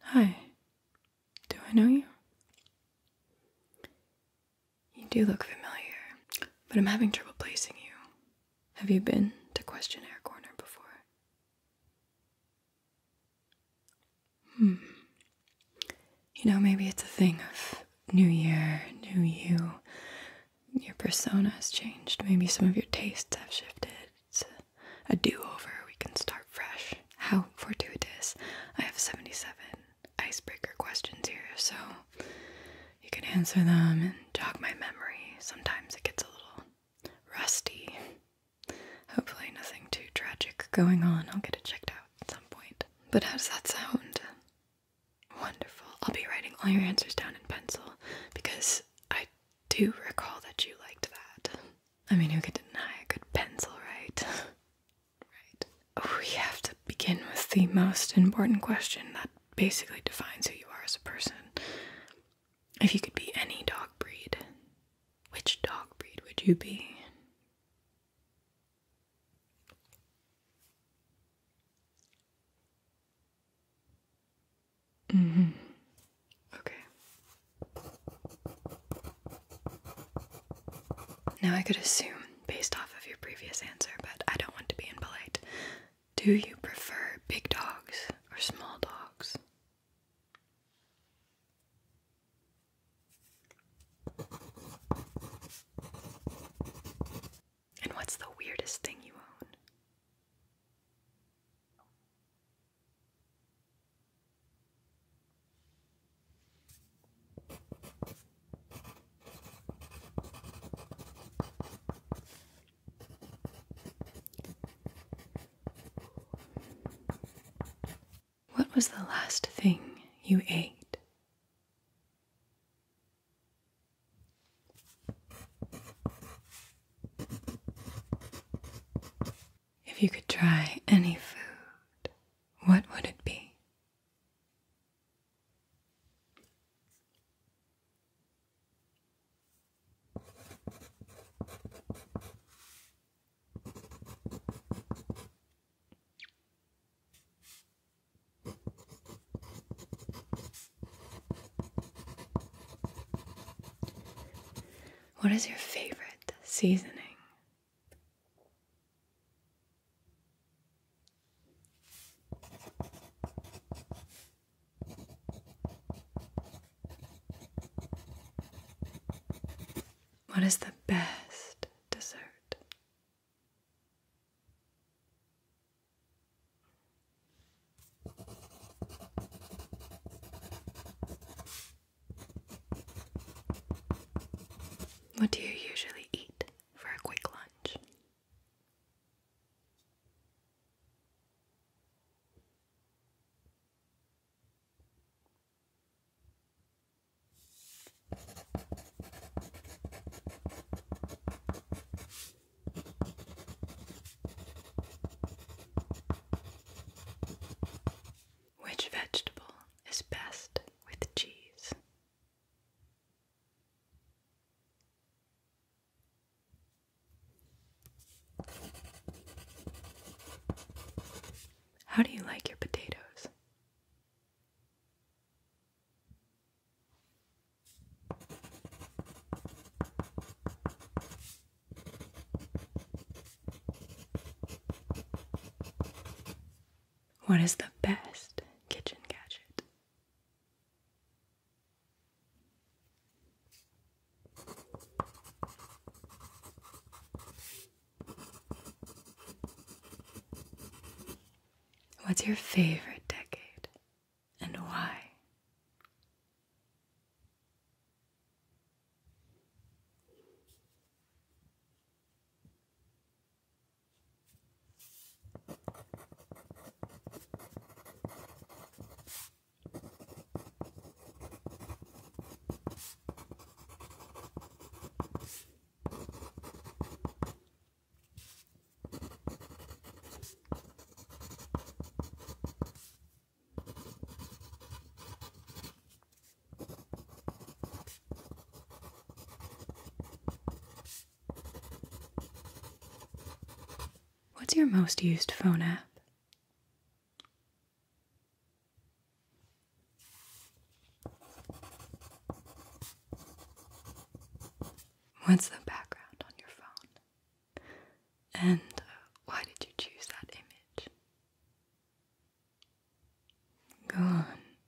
Hi. Do I know you? You do look familiar, but I'm having trouble placing you. Have you been to Questionnaire Corner before? Hmm. You know, maybe it's a thing of new year, new you, your persona has changed. Maybe some of your tastes have shifted. It's a do over. We can start fresh. How fortuitous. I have 77 icebreaker questions here, so you can answer them and jog my memory. Sometimes it gets a little rusty. Hopefully, nothing too tragic going on. I'll get it checked out at some point. But how does that sound? Wonderful. I'll be writing all your answers down in pencil because I do recall that you liked that. I mean, who could deny a good pencil, right? right. we have to begin with the most important question that basically defines who you are as a person. If you could be any dog breed, which dog breed would you be? Mm-hmm. Okay. Now I could assume based off of your previous answer, but I don't want to be impolite. Do you prefer big dogs or small dogs? And what's the weirdest thing you own? What was the last thing you ate? If you could try any food, what would it be? What is your favorite seasoning? What is the best dessert? What do you usually eat for a quick lunch? Which vegetable is best with cheese? How do you like your potatoes? What is the best kitchen gadget? What's your favorite decade? and why? What's your most used phone app? What's the background on your phone? And uh, why did you choose that image? Go on,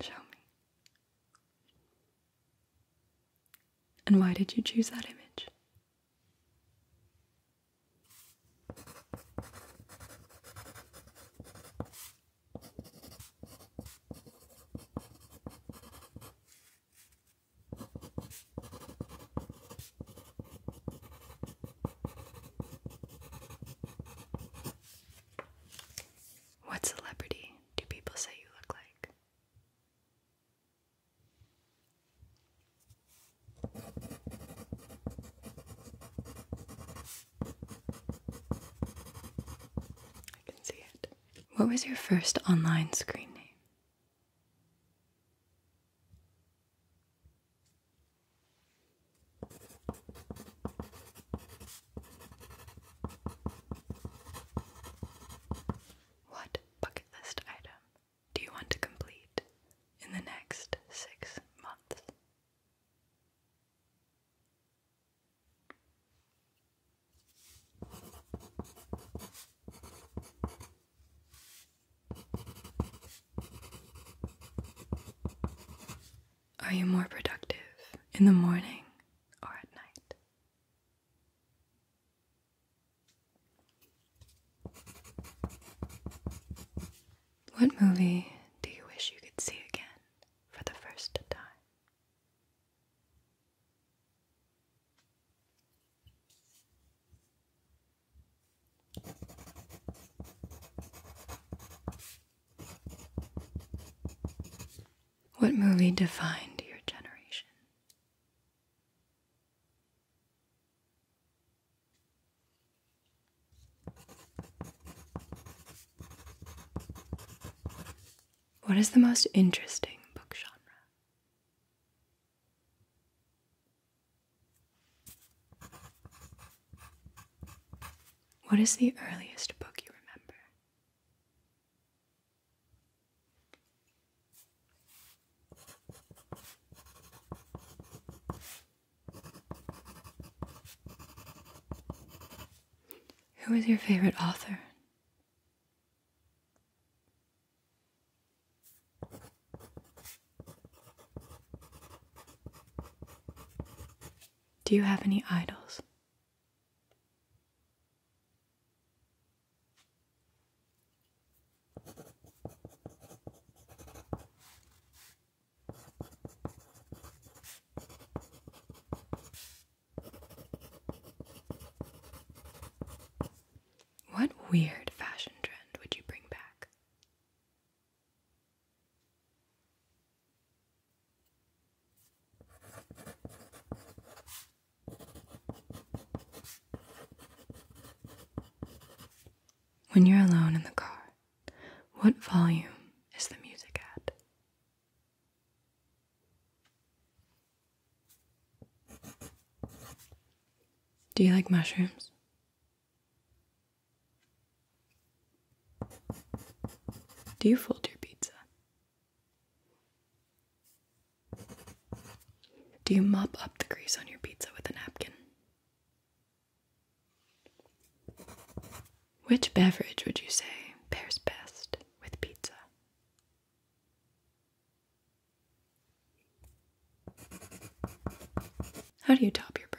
show me. And why did you choose that image? What celebrity do people say you look like? I can see it. What was your first online screen name? What bucket list item do you want to complete in the next six months? Are you more productive in the morning or at night? What movie do you wish you could see again for the first time? What movie defined your generation? What is the most interesting book genre? What is the earliest book you remember? Who is your favorite author? Do you have any idols? What weird fashion trend would you bring back? When you're alone in the car, what volume is the music at? Do you like mushrooms? Do you fold your pizza? Do you mop up the grease on your pizza with a napkin? Which beverage would you say pairs best with pizza? How do you top your burgers?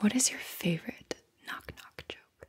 What is your favorite knock knock joke?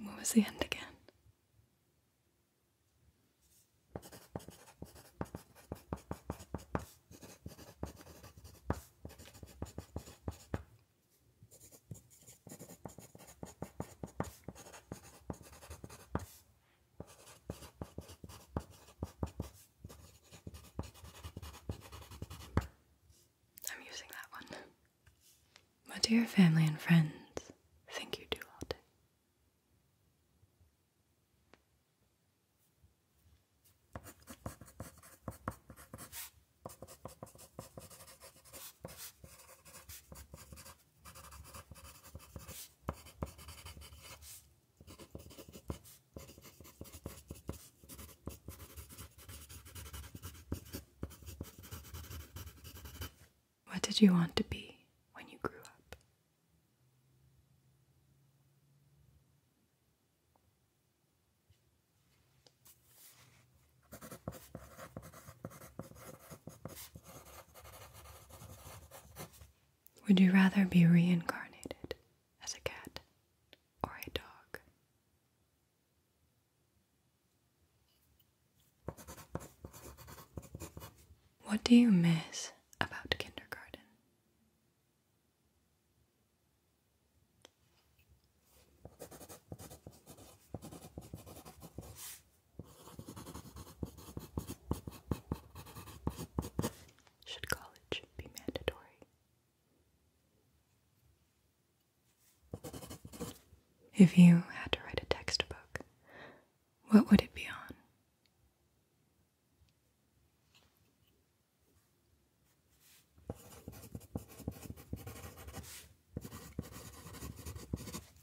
What was the end again? I'm using that one. What do your family and friends think you do all day? What did you want to be when you grew up? Would you rather be reincarnated as a cat or a dog? What do you miss about kindergarten? Should college be mandatory? If you had to write a textbook, what would it be on?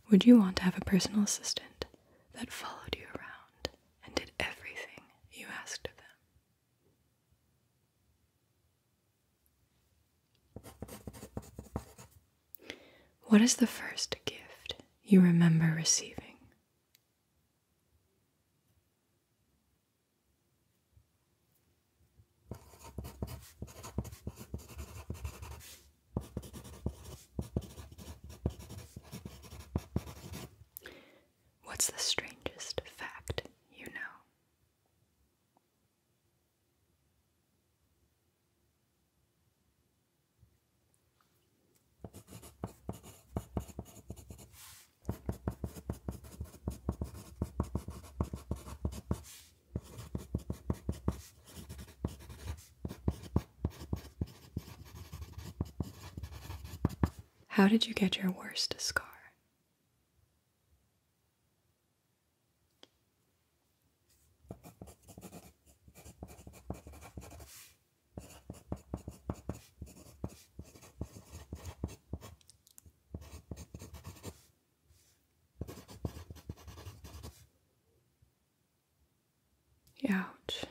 Would you want to have a personal assistant that followed you around and did everything you asked of them? What is the first gift you remember receiving? What's the strangest fact you know? How did you get your worst scar? Ouch.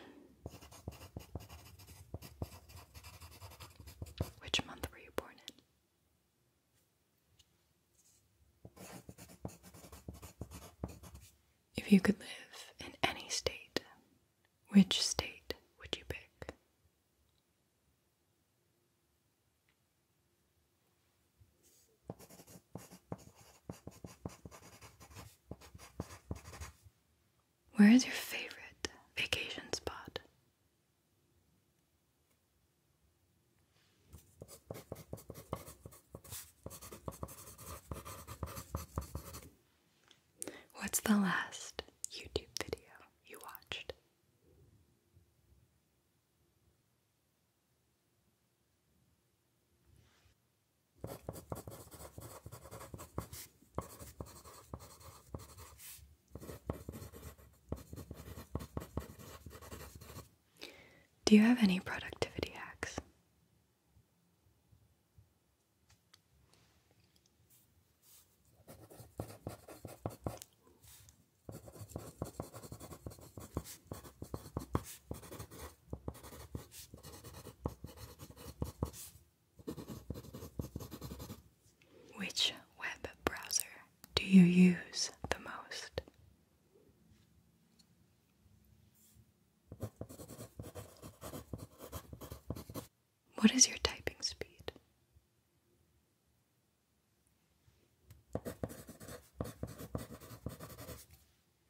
Which month were you born in? If you could live in any state, which state would you pick? Where is your favorite vacation spot? What's the last YouTube video you watched? Do you have any productivity hacks? Which web browser do you use the most? What is your typing speed?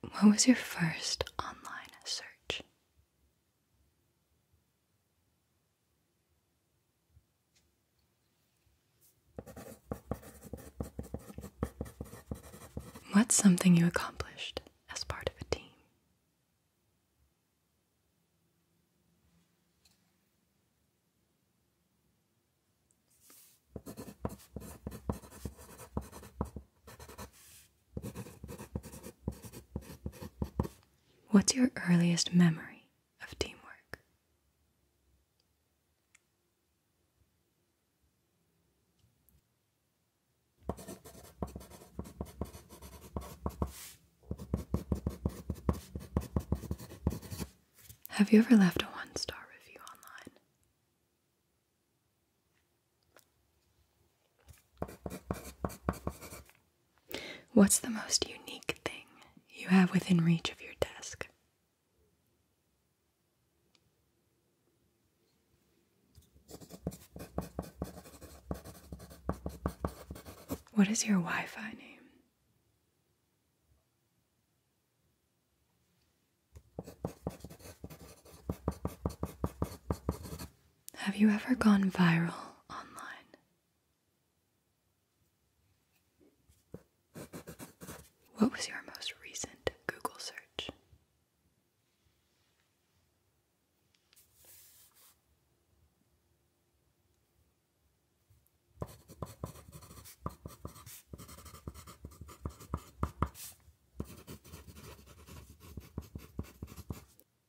What was your first online search? What's something you accomplished as part of a team? What's your earliest memory of teamwork? Have you ever left a one star review online? What's the most unique thing you have within reach of your desk? What is your Wi Fi name? Have you ever gone viral online? What was your most recent Google search?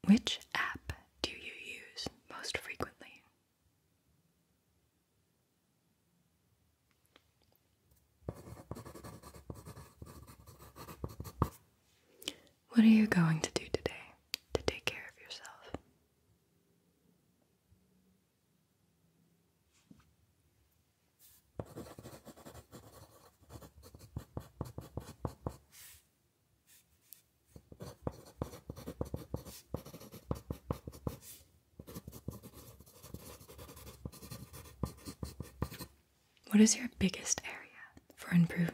Which app do you use most frequently? What are you going to do today to take care of yourself? What is your biggest area for improvement?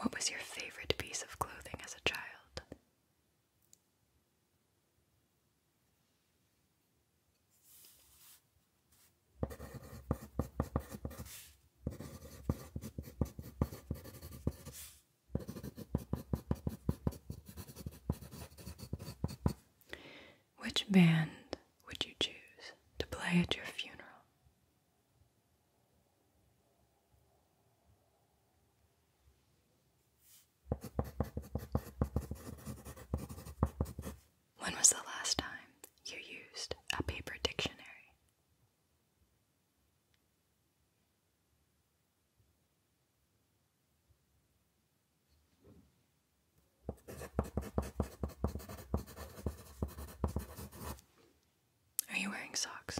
What was your favorite piece of clothing as a child? Which band would you choose to play at your funeral? When was the last time you used a paper dictionary? Are you wearing socks?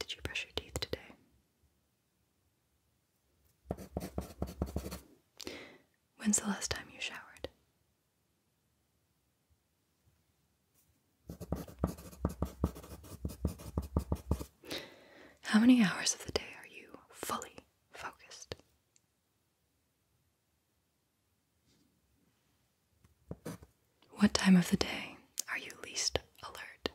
Did you brush your teeth today? When's the last time you showered? How many hours of the day are you fully focused? What time of the day are you least alert?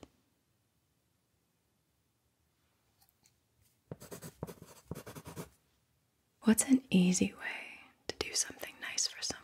What's an easy way to do something nice for someone?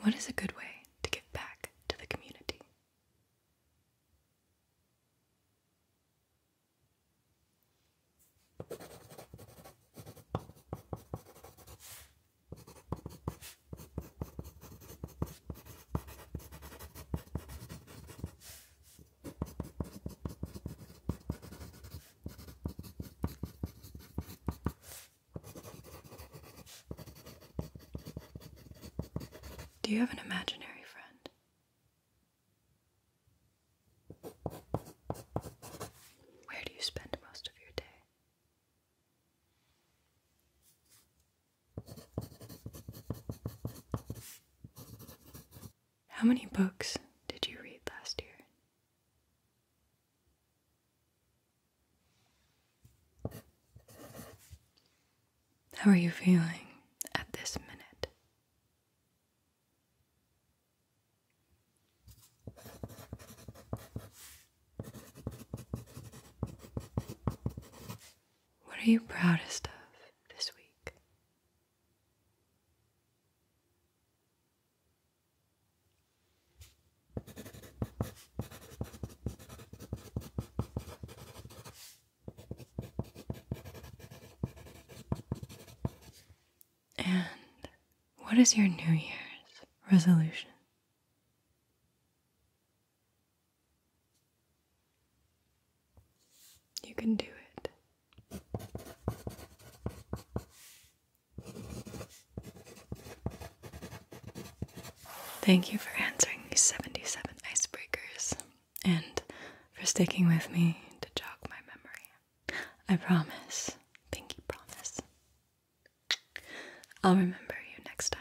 What is a good way to give back to the community? Do you have an imaginary friend? Where do you spend most of your day? How many books did you read last year? How are you feeling at this minute? What are you proudest of this week? And what is your New Year's resolution? You can do it. Thank you for answering these 77 icebreakers and for sticking with me to jog my memory. I promise, pinky promise. I'll remember you next time.